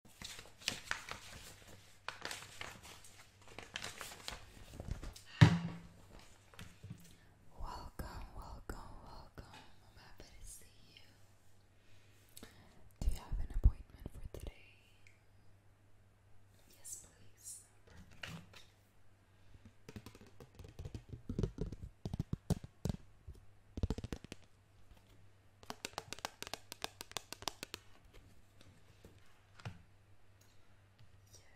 Welcome, welcome, welcome. I'm happy to see you. Do you have an appointment for today? Yes, please.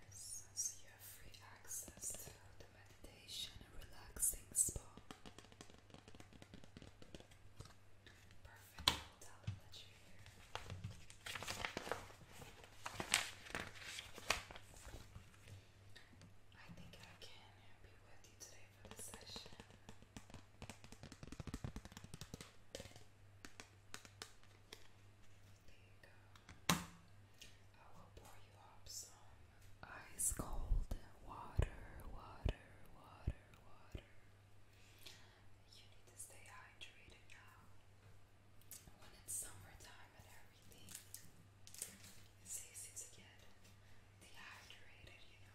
Yes, so you have free access to the meditation relaxing spa. Perfect, i that you I think I can be with you today for the session ice cold water, water, water, water. You need to stay hydrated now. When it's summertime and everything, it's easy to get dehydrated, you know.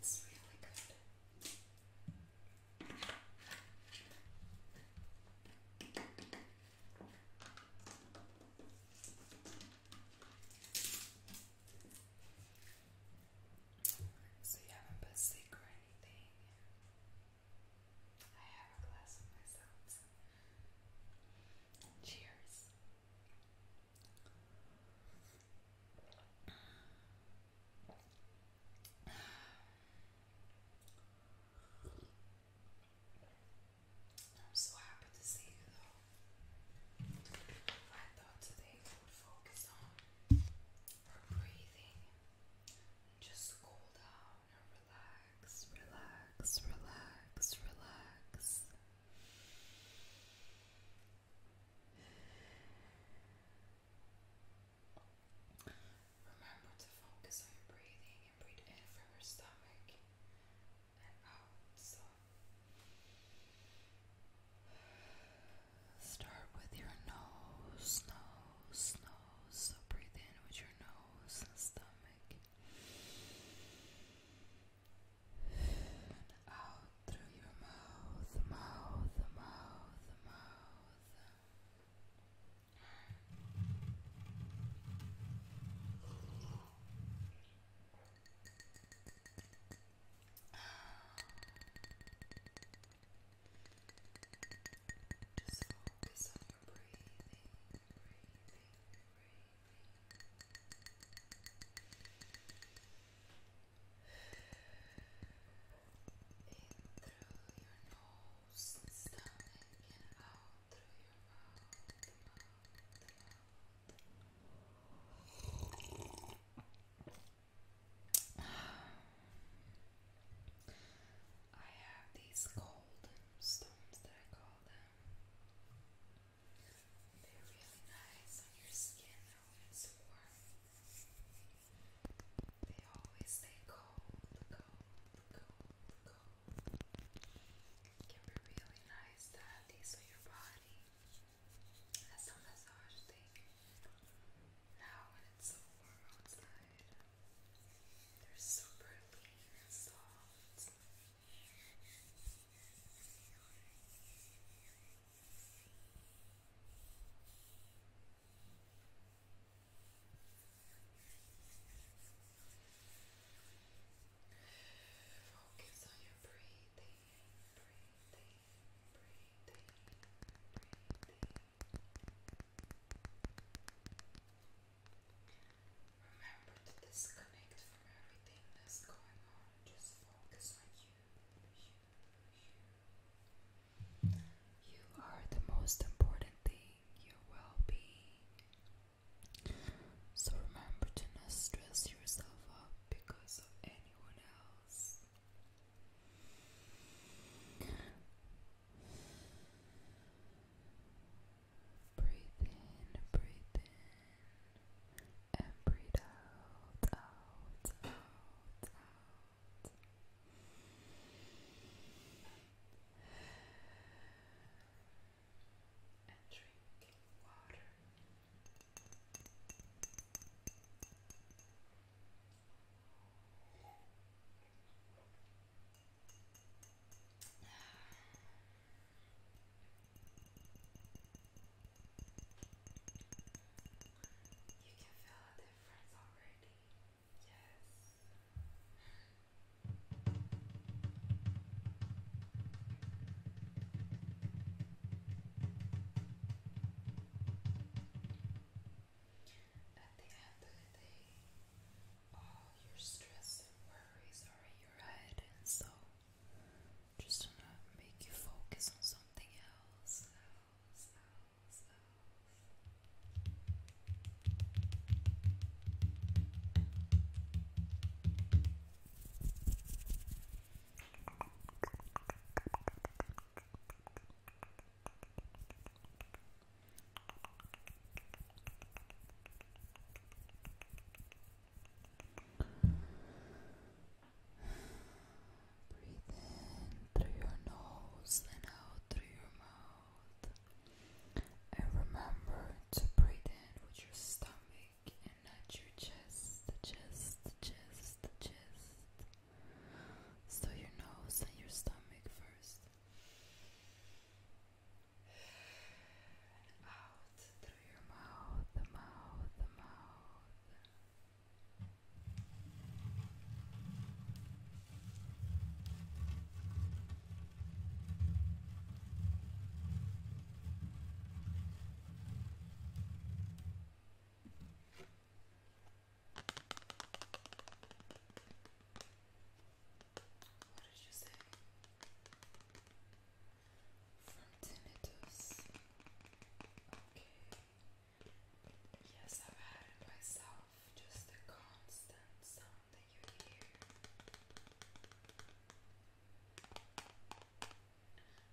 It's really good. So you haven't put secret I have a glass of myself. Cheers. I'm so happy to see you though. I thought today would focus on her breathing, and just cool down and relax, relax, relax, relax. Remember to focus on your breathing and breathe in from your stomach and out. So. Start with your nose, nose, nose. So breathe in with your nose and stomach. out through your mouth, mouth, mouth, mouth. Just focus on your breathing, breathing, breathing. In through your nose and stomach and out through your mouth, mouth, mouth. I have these cold stones that I call them. They're really nice on your skin They always stay cold, cold, cold, cold. It can be really nice to uh, have these on your body. That's the massage thing. Now when it's so warm outside, they're super lean soft. Focus on your breathing, Remember to disconnect from everything that's going on. Just focus on you, you. You are the most important thing, your well being. So remember to not stress yourself up because of anyone else. Breathe in, breathe in, and breathe out, out, out, out and drink water. You can feel a difference already. Yes. At the end of the day, all your stress and worries are in your head, and so just to not make you focus on something else, else, else, else. Breathe in through your nose and out through your mouth. And remember to breathe in with your stomach and not your chest, chest, chest, chest. So your nose and your stomach first. out through your mouth, the mouth, the mouth. What did you say? From tinnitus. Okay. Yes, I've had it myself. Just a constant sound.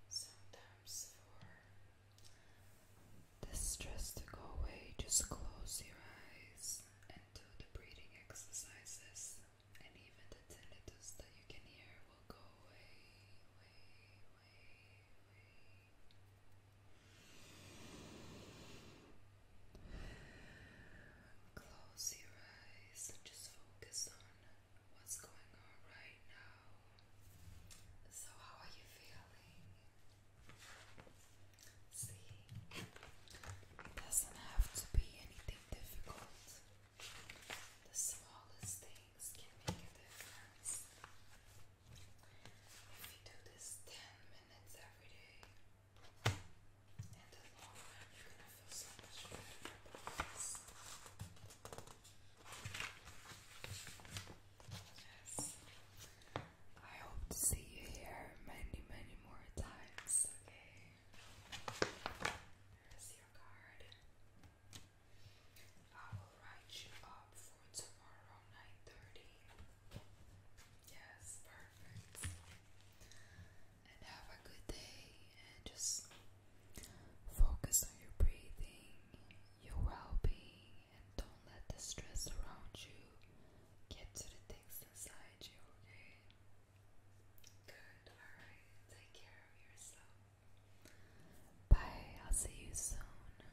Sometimes for the stress to go away, just close your eyes and do the breathing exercises, and even the tinnitus that you can hear will go away, Close your eyes and just focus on what's going on right now. So, how are you feeling? See, it doesn't have to be anything difficult, the smallest things can make a difference. If you do this 10 minutes every day, Yes. I hope to see you here many, many more times, okay? There's your card. I will write you up for tomorrow, 9.30. Yes, perfect. And have a good day and just focus on your breathing, your well being, and don't let the stress around you get to the things inside you, okay? Good, alright. Take care of yourself. Bye, I'll see you soon.